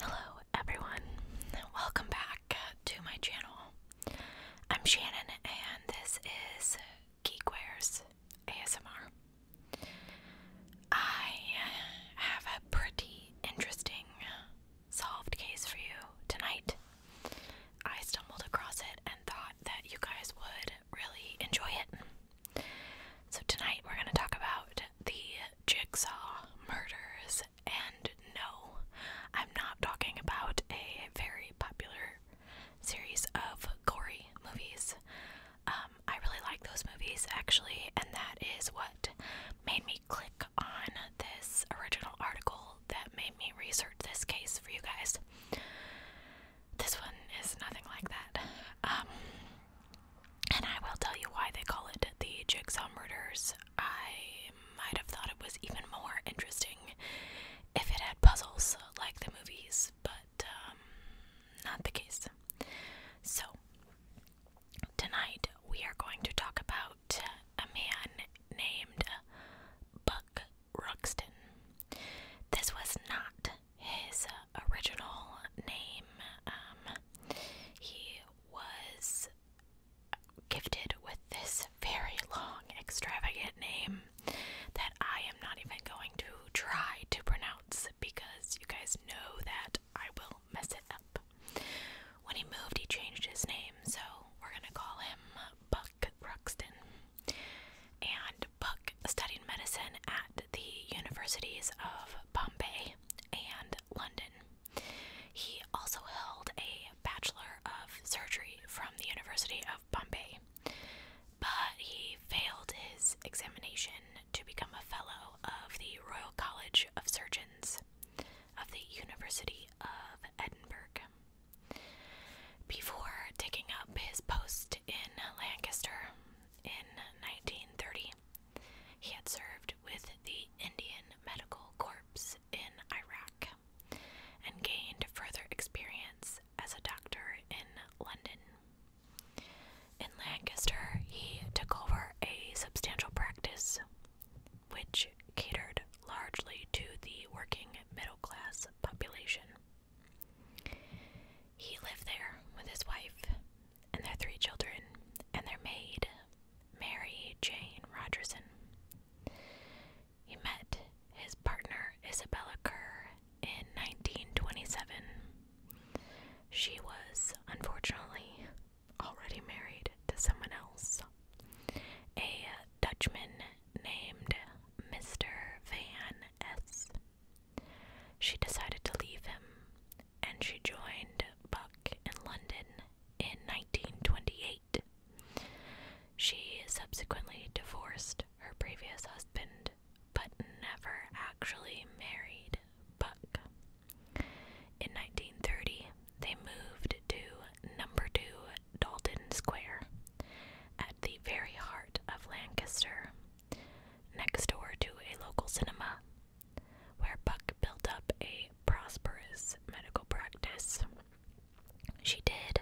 Hello, everyone. Welcome back to my channel. I'm Shannon, and this is Geekwares ASMR. I have a pretty interesting solved case for you tonight. I stumbled across it and thought that you guys would really enjoy it. So, tonight we're going to talk about the Jigsaw murders. And no, I'm not talking about a very popular series of gory movies. Um, I really like those movies actually, and that is what made me click on this original article that made me research this case for you guys. This one is nothing like that. Um, and I will tell you why they call it the Jigsaw Murders. I might have thought it was even more interesting if it had puzzles like the movies, but um, not the case. So, tonight we are going to talk about a man named Buck Ruxton. This was not his original name. Um, he was gifted with this very long, extravagant name that I am not even going to try to pronounce because you guys know that I will mess it up. When he moved, he changed his name, so we're gonna call him Buck Ruxton. And Buck studied medicine at the universities of Bombay and London. He also held a Bachelor of Surgery from the University of Bombay, but he failed his examination to become a Fellow of the Royal College of Surgeons of the University of Edinburgh. Before taking up his post in Lancaster in 1930, he had served with the Indian Medical Corps in Iraq and gained further experience as a doctor in London. In Lancaster, he took over a substantial practice which catered largely to the working middle class population. He lived there with his wife and their three children, and their maid, Mary Jane Rogerson. He met his partner, Isabella Kerr, in 1927. She was, unfortunately, already married to someone else, a Dutchman named Mr. Van S. She decided to leave him and she joined Buck in London in 1928. She subsequently divorced her previous husband but never actually married Buck. In 1930, they moved to number 2 Dalton Square at the very heart of Lancaster, next door to a local cinema where Buck built up a prosperous medical practice. She did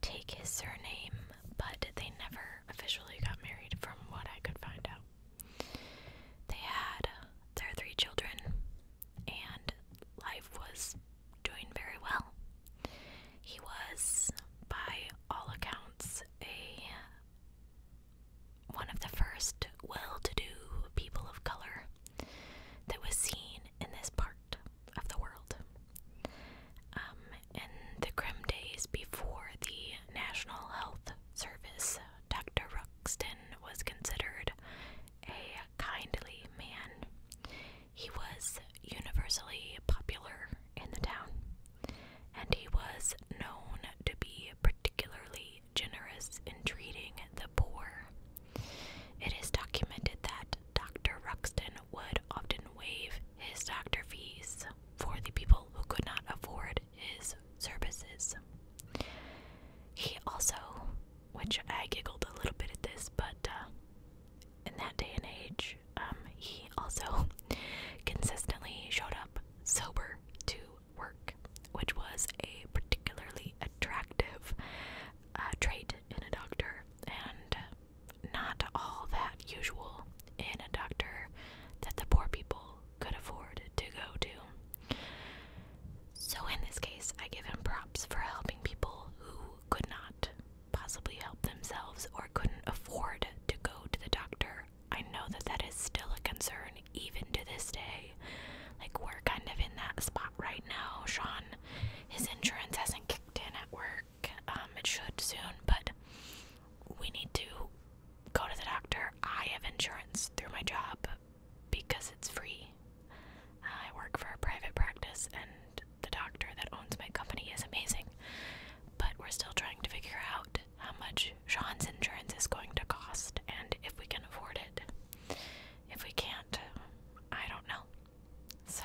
take his surname, but they never officially got married, from what I could find out. They had their three children, and life was doing very well. He was, by all accounts, a one of the first well to do people of color that was seen in this part of the world. Um, in the grim days before the National Health Service, Dr. Ruxton was considered a kindly man. He was universally popular in the town and he was known to be particularly generous in treating the poor. It is documented that Dr. Ruxton would often waive his doctor fees for the people who could not afford his services. He also, which I giggled a little bit at this, but uh, in that day and age, um, he also consistently showed up sober to work, which was a particularly attractive uh, trait in a doctor and not all that usual in a doctor that the poor people could afford to go to. So, in this case, I give him props for helping people who could not possibly help themselves or couldn't afford to go to the doctor I know that that is still a concern even to this day. Like, we're kind of in that spot right now. Sean, his insurance hasn't kicked in at work. Um, it should soon, but we need to go to the doctor. I have insurance through my job because it's free. I work for a private practice, and the doctor that owns my company is amazing. But we're still trying to figure out how much Sean's insurance is going to cost and if we can afford it. If we can't, I don't know. So,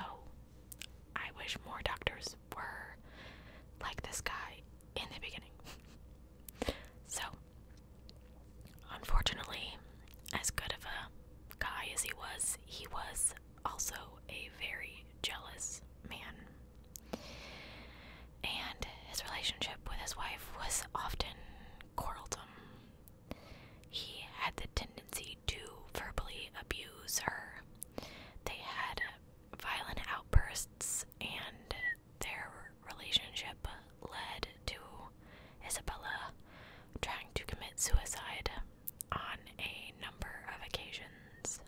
I wish more doctors were like this guy in the beginning. So, unfortunately, as good of a guy as he was, he was also a very jealous man and his relationship with his wife was often quarrelsome. He had the tendency to verbally abuse her. They had violent outbursts, and their relationship led to Isabella trying to commit suicide on a number of occasions.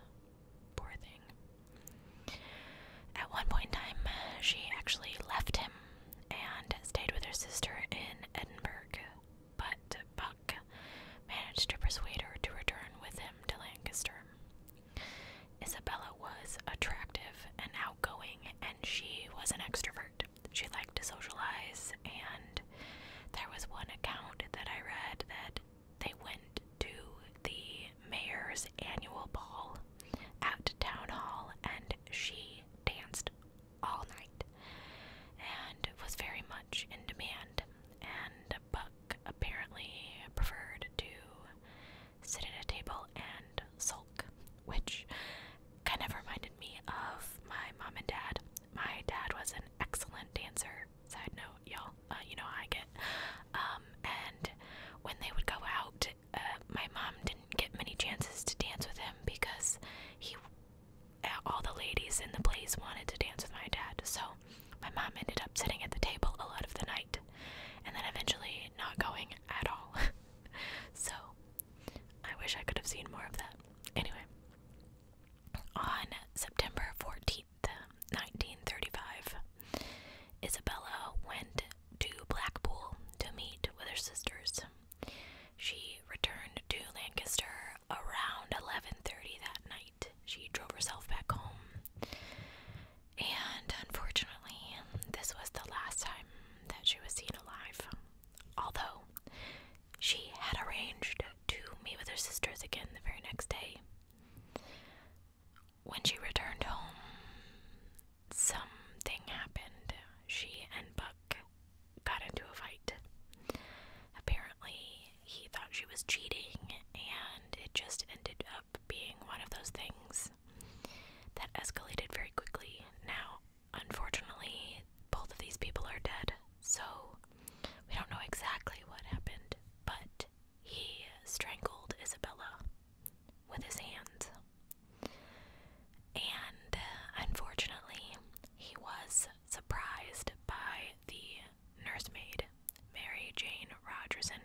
Poor thing. At one point in time, uh, she actually left him and stayed with her sister in Edinburgh, but Buck managed to persuade her to return with him to Lancaster. Isabella was attractive and outgoing, and she was an extrovert. She liked to socialize, and there was one account that I read that they went to the mayor's annual ball at town hall and she danced all night and was very much in demand and Buck apparently preferred to sit at a table and sulk, which kind of reminded me of my mom and dad. My dad was an excellent dancer, side note, out, y'all. Uh, you know how I get. Um, and when they would go out, uh, my mom didn't get many chances to dance with him because he, uh, all the ladies in the place wanted to dance with my dad. So my mom ended up sitting at the table a lot of the night, and then eventually not going at all. so I wish I could have seen more of that. Anyway, on September 14th, 1935, um, Isabella went to Blackpool to meet with her sisters. She returned to Lancaster around 11:30 that night. She drove herself back home. And unfortunately, this was the last time that she was seen alive. Although she had arranged to meet with her sisters again the very next day. When she returned home, something happened. She and Buck got into a fight. Apparently, he thought she was cheating, and it just ended up being one of those things that escalated very quickly. Now, unfortunately, both of these people are dead, so we don't know exactly what happened, but he strangled Isabella with his hand. And uh, unfortunately, he was surprised by the nursemaid, Mary Jane Rogerson.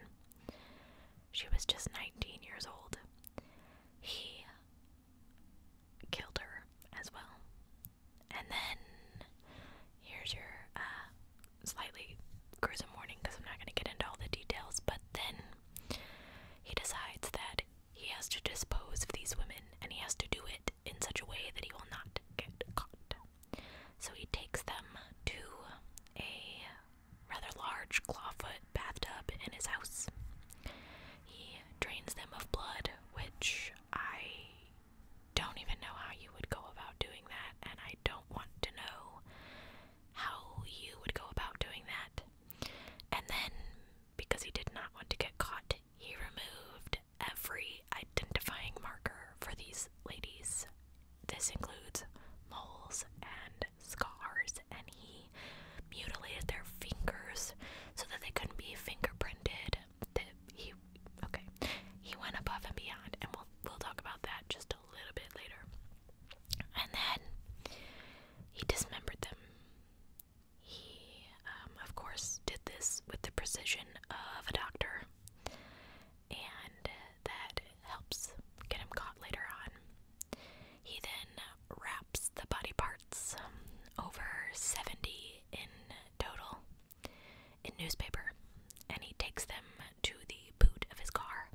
She was just 19 years old. He killed her as well. And then here's your uh, slightly gruesome warning because I'm not going to get into all the details, but then he decides that he has to dispose of these women and he has to do it in such a way that he will not get caught. So he takes them to a rather large clawfoot bathtub in his house. He drains them of blood, which I don't even know how you would go about doing that, and I don't want to know how you would go about doing that. And then, because he did not want to get caught, he removed every identifying marker for these ladies. This includes moles and scars, and he mutilated their fingers so that they couldn't be fingerprinted. The, he okay. He went above and beyond, and we'll we'll talk about that just a little bit later. And then he dismembered them. He, um, of course, did this with the precision of a doctor, and that helps get him caught later on. He then wraps the body parts, um, over 70 in total, in newspaper and he takes them to the boot of his car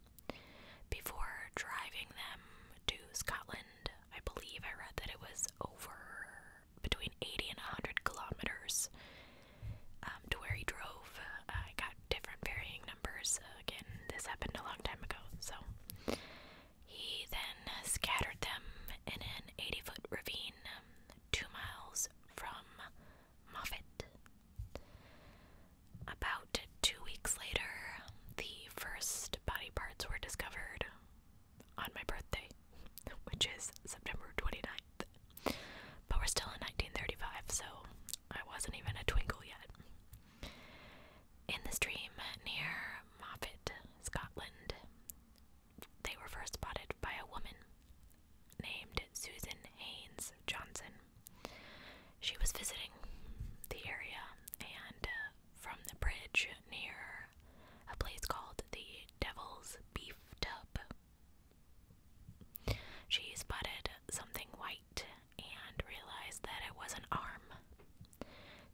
before driving them to Scotland. I believe I read that it was over between 80 and 100 kilometers um, to where he drove. Uh, I got different varying numbers. again, this happened a long time ago, so. He then scattered them in an 80 foot ravine um, two miles from Moffat. About two weeks later, the first body parts were discovered on my birthday, which is September 29th. But we're still in 1935, so I wasn't even a twinkle yet. In the stream near Moffat, Scotland, they were first spotted by a woman named Susan Haynes Johnson. She was visiting the area, and uh, from the bridge near a place called the Devil's Beef Tub, she spotted something white and realized that it was an arm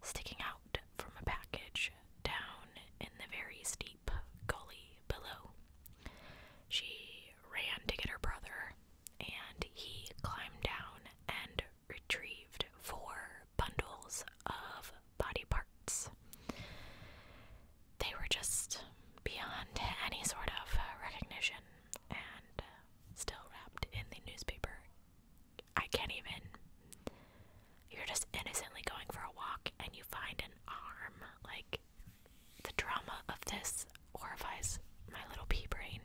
sticking out from a package down in the very steep gully below. She ran to get her brother, and he climbed down and retrieved four bundles of body parts. They were just beyond any sort of recognition and uh, still wrapped in the newspaper. I can't even. You're just innocently going for a walk and you find an arm. Like, the drama of this horrifies my little pea brain.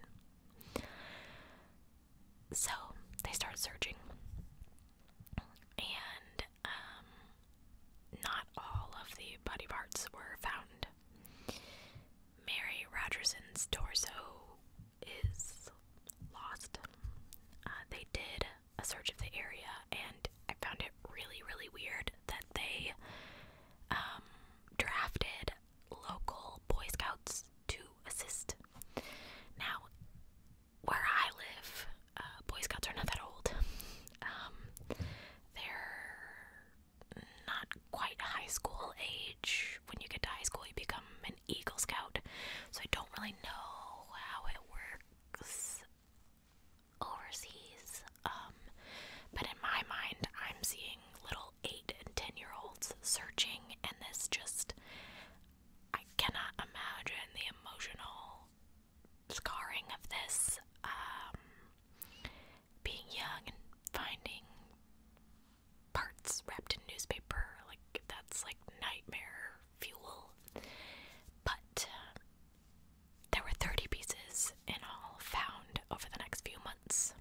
So they start searching, and um, not all of the body parts were found. Mary Rogerson's torso is lost. Uh, they did a search of the area, and I found it really, really weird that they um, drafted local Boy Scouts to assist. Now, where I live, uh, Boy Scouts are not that old. Um, they're not quite high school age. When you get to high school, you become an Eagle Scout. So I don't really know how it works overseas. Um, but in my mind, I'm seeing little eight and ten year olds searching, and this just I cannot imagine the emotional scarring of this. Um, being young and finding parts wrapped in newspaper, like that's like nightmare fuel. But uh, there were 30 pieces in all found over the next few months,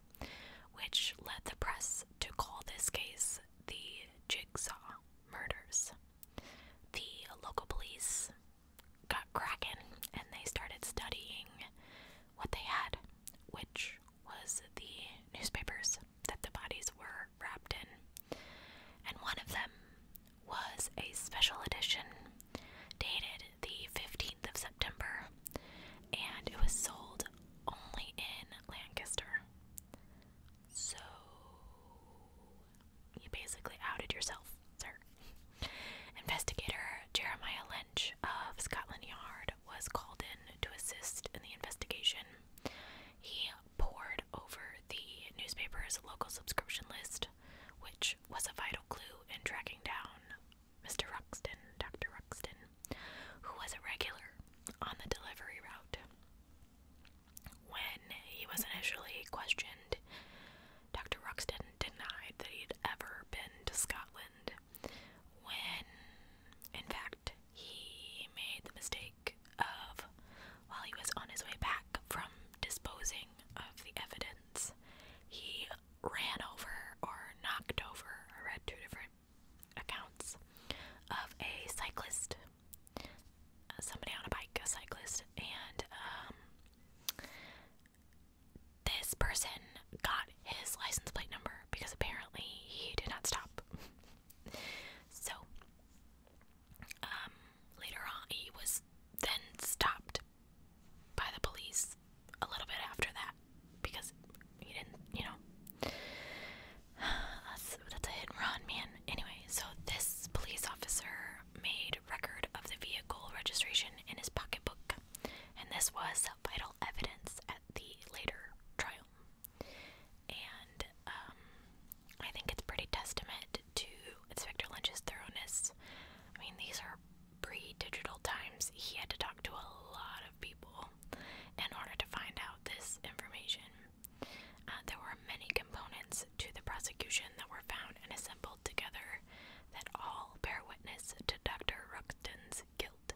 which led the press to call this case the Jigsaw Murders. The local police got cracking and they started studying what they had, which was the newspapers that the bodies were wrapped in. And one of them was a special edition dated the 15th of September, and it was sold only in Lancaster. So, you basically outed yourself, sir. Investigator Jeremiah Lynch of Scotland Yard was called in to assist in the investigation. He pored over the newspaper's local subscription list, which was a vital clue in tracking down Mr. Ruxton, Dr. Ruxton, who was a regular on the delivery route. When he was initially questioned, Dr. Ruxton denied that he'd ever been to Scotland. When, in fact, he made the mistake of, while he was on his way back from disposing of the evidence, he ran over or knocked over. I read two different accounts of a cyclist, uh, somebody on a bike, a cyclist, and um, this person got his license plate number because apparently he did not stop. so, um, later on, he was then stopped by the police a little bit after that because he didn't, you know. That's, that's a hit and run, man. Anyway, so this police officer made record of the vehicle registration in his pocketbook, and this was vital evidence at the later trial. And um, I think it's pretty testament to Inspector Lynch's thoroughness. I mean, these are pre digital times, he had to talk to a lot of people in order to find out this information. Uh, there were many components to the prosecution that were found and assembled together that all bear witness to Dr. Ruxton's guilt.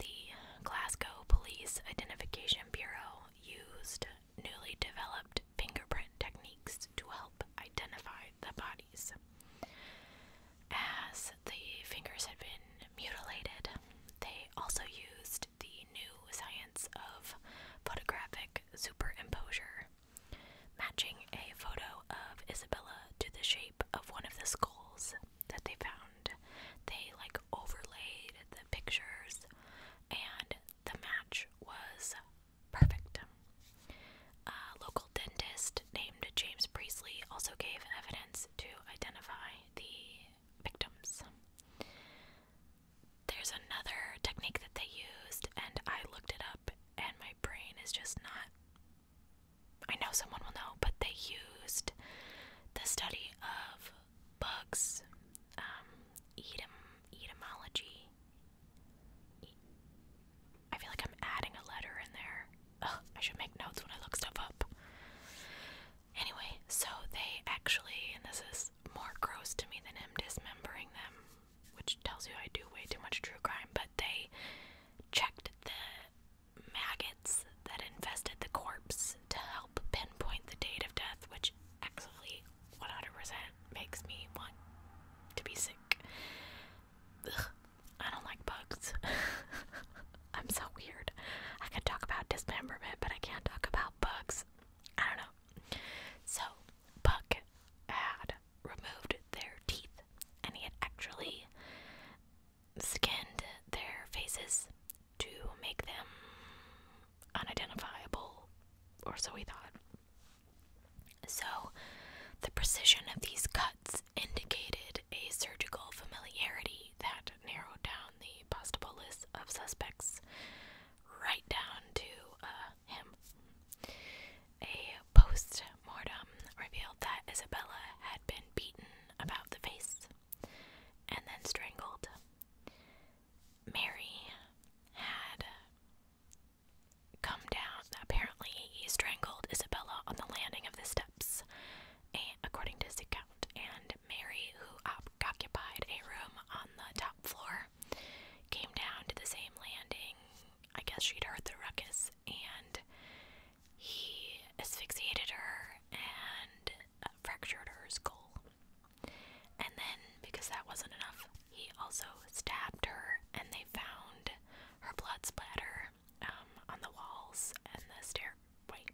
The Glasgow Police Identification Bureau used newly developed fingerprint techniques to help identify the bodies. As the fingers had been mutilated, they also used the new science of photographic superimposure, matching a photo of Isabella to the shape of one of the skulls that they found. They like overlaid the pictures, and the match was Perfect. A local dentist named James Priestley also gave evidence to identify the victims. There's another technique that they used, and I looked it up, and my brain is just not. I know someone will know, but they used the study of bugs, um, etymology, I feel like I'm adding a letter in there. I should make notes when I look stuff up. Anyway, so they actually, and this is more gross to me than him dismembering them, which tells you I do way too much true crime, but they checked the maggots that infested the corpse to help pinpoint the date of death, which actually 100% makes me want to be sick. I don't like bugs. I'm so weird. I can talk about dismemberment, but I can't talk about bugs. I don't know. So, Buck had removed their teeth and he had actually skinned their faces to make them unidentifiable, or so he thought. So, the precision of these cuts indicated a surgical familiarity that narrowed down the possible list of suspects right down to uh, him. A post mortem revealed that Isabella had been beaten about the face and then strangled. Mary had come down. Apparently, he strangled Isabella on the landing of the steps, eh, according to his account. And Mary, who occupied a room on the top floor, came down to the same landing. I guess she'd heard the ruckus, and he asphyxiated her and uh, fractured her skull. And then, because that wasn't enough, he also stabbed her, and they found her blood splatter um, on the walls and the stairway.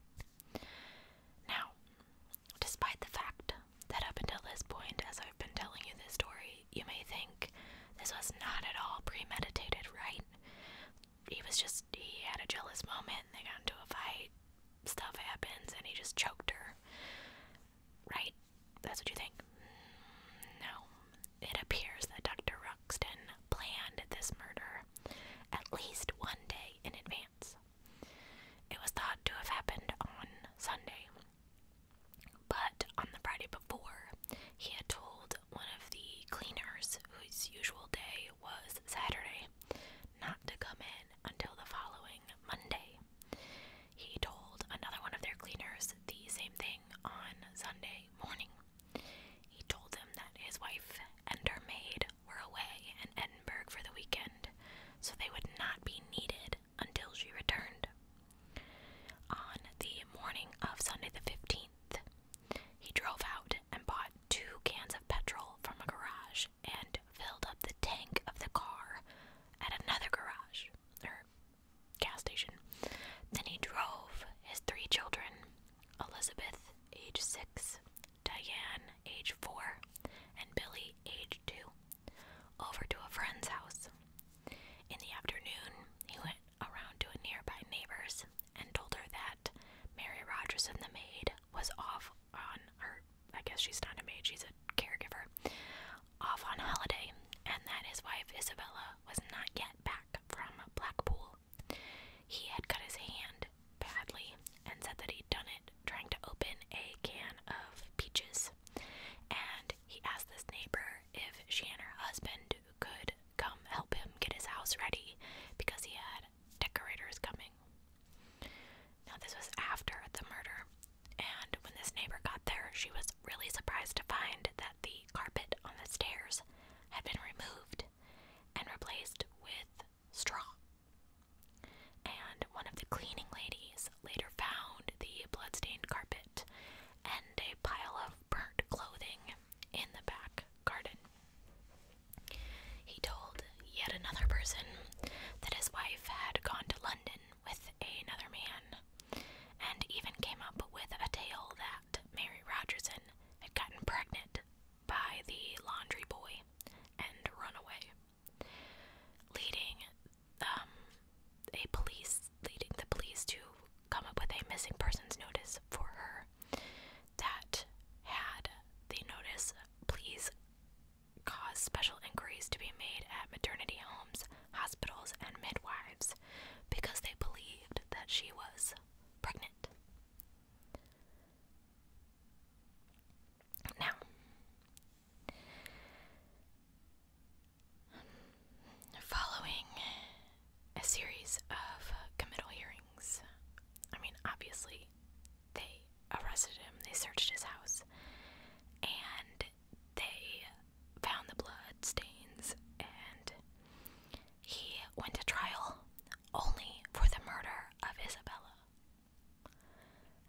Now, despite the fact that up until this point, as I've been telling you this story, you may think this was not at all premeditated, right? He was just, he had a jealous moment, and they got into a fight, stuff happens, and he just choked her right? That's what you think? No. It appears that Dr. Ruxton planned this murder at least one day in advance. It was thought to have happened on Sunday, but on the Friday before, he had told one of the cleaners, whose usual day was Saturday, not to come in until the following Monday. He told another one of their cleaners the same thing on Sunday morning. He told them that his wife and her maid were away in Edinburgh for the weekend, so they would not be needed until she returned. On the morning of Sunday the 15th, he drove out and bought two cans of petrol from a garage and filled up the tank of the car at another garage, There gas station. Then he drove his three children Elizabeth, age six, Diane, age four, and Billy, age two, over to a friend's house. In the afternoon, he went around to a nearby neighbor's and told her that Mary Rogerson, the maid, was off on her. I guess she's not a maid, she's a caregiver off on holiday and that his wife Isabella was not yet back from Blackpool. He had cut his hand badly and said that he'd done it trying to open a can of peaches. And he asked this neighbor if she and her husband could come help him get his house ready because he had decorators coming. Now, this was after the murder, and when this neighbor got there, she was really surprised to find that the carpet on the stairs had been removed and replaced with straw. And one of the cleaning ladies later found the bloodstained carpet and a pile of burnt clothing in the back garden. He told yet another person that his wife had gone to London with another man, and even came up with a tale that Mary Rogerson had gotten pregnant by the laundry boy and run away, leading um, a police leading the police to come up with a missing persons notice for her that had the notice please cause special inquiries to be made at maternity homes hospitals, and midwives because they believed that she was pregnant. Now, following a series of committal hearings, I mean, obviously, they arrested him, they searched his house, and they found the blood stains and he went to trial only for the murder of Isabella.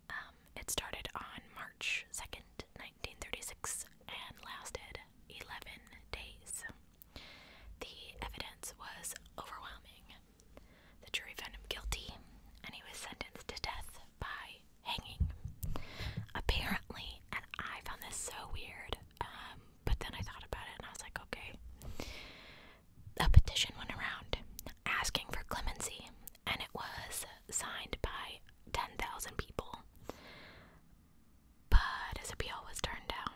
Um, it started on March 2nd, 1936, and lasted 11 days. The evidence was overwhelming. The jury found him guilty, and he was sentenced to death by hanging, apparently. And I found this so weird. Um, but then I thought about it and I was like, okay. A petition went around asking for clemency, and it was signed by 10,000 people. But his appeal was turned down,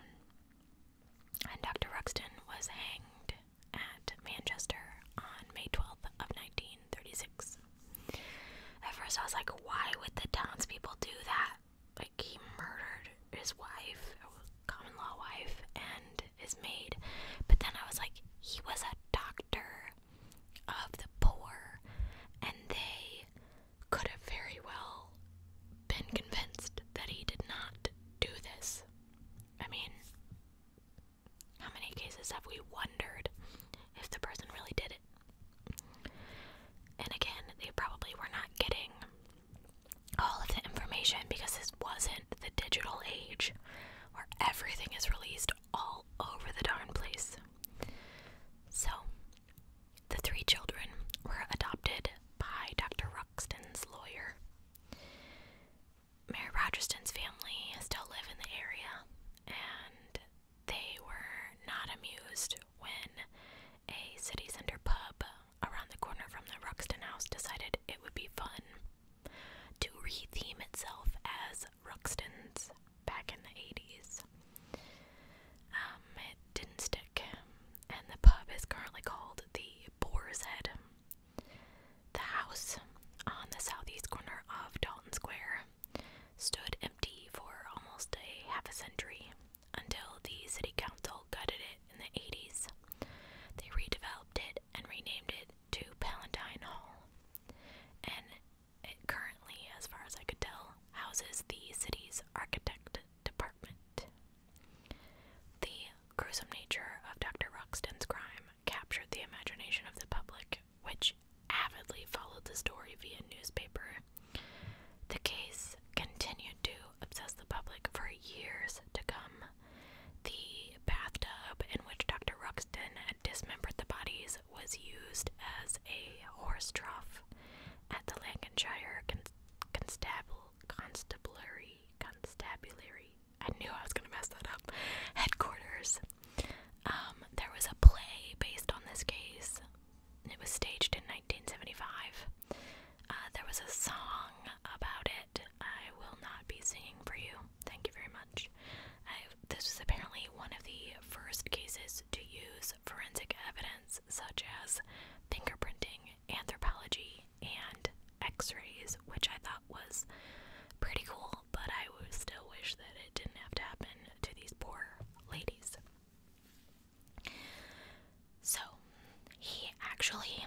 and Dr. Ruxton was hanged at Manchester on May 12th of 19 Thirty-six. At first, I was like, why would the townspeople do that? Like, he murdered his wife, common law wife, and his maid. But then I was like, he was a doctor of the poor, and they could have very well been convinced that he did not do this. I mean, how many cases have we wondered if the person really did it? And again, they probably were not getting all of the information because this wasn't the digital age where everything is released all over the darn place. So, the three children were adopted by Dr. Ruxton's lawyer. Mary Rogerston's family still live in the area, and they were not amused when a city center pub around the corner from the Ruxton House decided it would be fun to retheme itself as Ruxton's back in the 80s. Um, it didn't stick, and the pub is currently called the Boar's Head. The house on the southeast corner of Dalton Square stood empty for almost a half a century until the city council gutted it in the 80s. They redeveloped it and renamed it to Palatine Hall. And it currently, as far as I could tell, houses the city's architect department. The gruesome nature of Dr. Roxton's crime captured the imagination of the public which avidly followed the story via newspaper. The case continued to obsess the public for years to come. The bathtub in which Dr. Ruxton dismembered the bodies was used as a horse trough at the Lancashire Constabulary. Constabulary. Constabulary. I knew I was going to mess that up. Headquarters. Um, there was a play based on this case. It was staged in 1975. Uh, there was a song about it. I will not be singing for you. Thank you very much. this was apparently one of the first cases to use forensic evidence such as fingerprinting, anthropology, and x rays, which I thought was pretty cool but I would still wish that it didn't have to happen to these poor ladies. So, he actually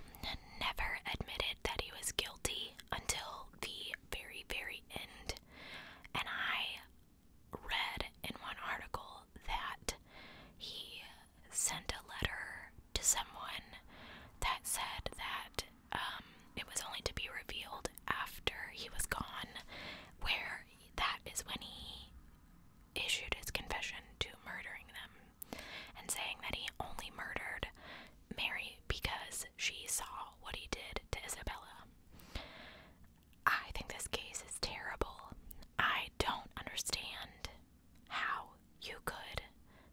never admitted that he was guilty until the very, very end. And I read in one article that he sent a letter to someone that said that um, it was only to be revealed after he was gone, where that is when he issued his confession to murdering them and saying that he only murdered Mary because she saw what he did to Isabella. I think this case is terrible. I don't understand how you could,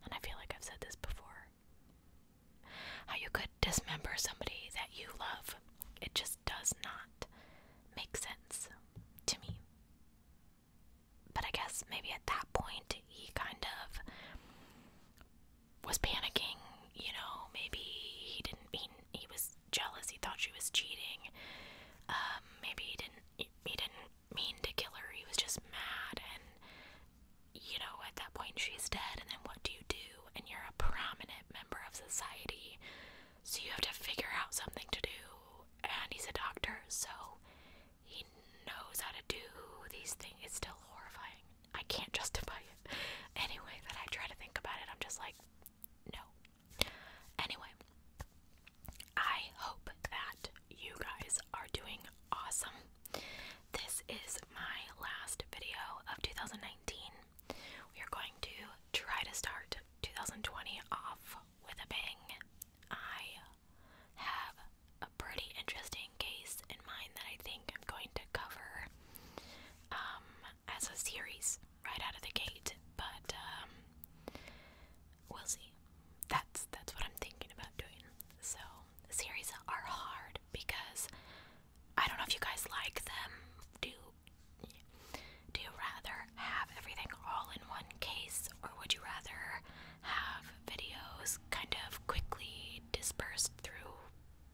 and I feel like I've said this before, how you could dismember somebody that you love. It just does not make sense to me. But I guess maybe at that point he kind of was panicking, you know, maybe he didn't mean he was jealous, he thought she was cheating. Um, maybe he didn't he didn't mean to kill her, he was just mad and you know, at that point she's dead, and then what do you do? And you're a prominent member of society, so you have to figure out something to do. And he's a doctor, so he knows how to do these things. It's still horrifying. I can't justify it. Anyway, that I try to think about it, I'm just like, no. Anyway, I hope that you guys are doing awesome. This is my last video of 2019. We are going to try to start 2020 off with a bang. I have a pretty interesting case in mind that I think I'm going to cover um, as a series right out of the gate, but um, we'll see. That's that's what I'm thinking about doing. So series are hard because I don't know if you guys like them. Do do you rather have everything all in one case or would you rather have videos kind of quickly dispersed through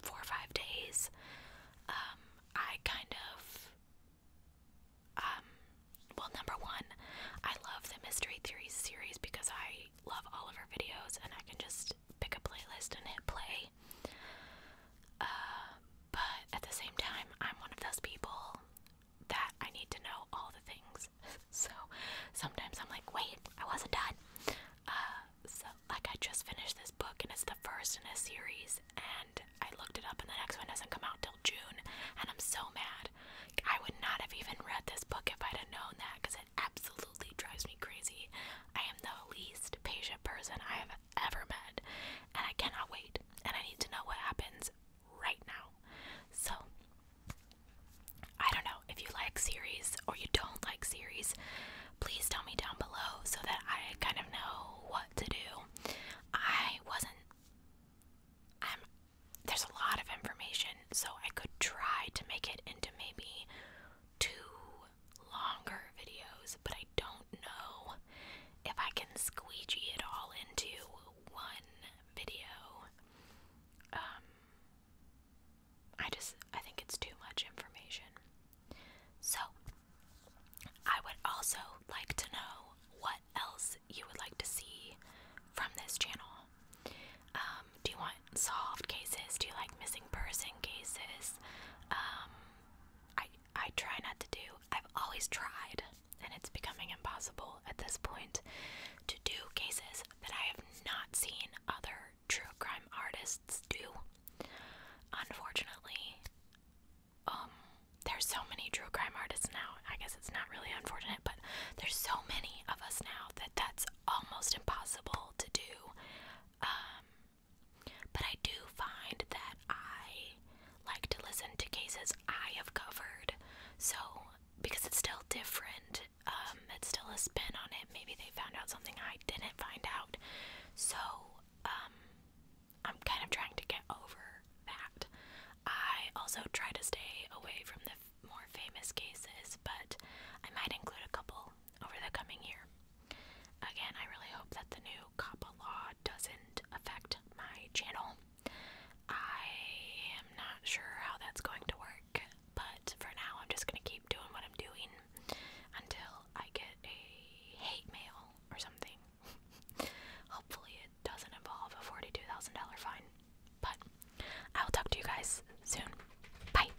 four or five days? Um, I kind of um, well number one, I love the mystery theories series because I love all of her videos and I can just pick a playlist and hit play uh, but at the same time, I'm one of those people that I need to know all the things. so sometimes I'm like, wait, I wasn't done. Uh, so, like, I just finished this book and it's the first in a series, and I looked it up, and the next one doesn't come out till June, and I'm so mad. I would not have even read this book if I'd have known that because absolutely drives me crazy. I am the least patient person I have ever met, and I cannot wait. And I need to know what happens right now. So, I don't know if you like series or you don't like series, please tell me down below so that I kind of know what to do. I wasn't. i there's a lot of information, so I could try to make it into maybe two longer videos, but I don't know if I can squeegee it all into one video. Um, I just I think it's too much information. So, I would also like to know what else you would like to see from this channel. Um, do you want solved cases? Do you like missing person cases? Um, I I try not to do. I've always tried, and it's becoming impossible at this point to do cases that I have not seen other true crime artists do. Unfortunately, um, there's so many true crime artists now. I guess it's not really unfortunate, but there's so many of us now that that's almost impossible to do. Um, but I do find that I like to listen to cases I have covered. So, because it's still different, um, it's still a spin on it. Maybe they found out something I didn't find out. So, um, I'm kind of trying to get over that. I also try to stay away from the more famous cases, but I might include a couple over the coming year. Again, I really hope that the new COPPA law doesn't affect my channel. I am not sure how that's going to work, but for now, I'm just going to keep doing what I'm doing until I get a hate mail or something. Hopefully, it doesn't involve a $42,000 fine. But I will talk to you guys soon. Bye.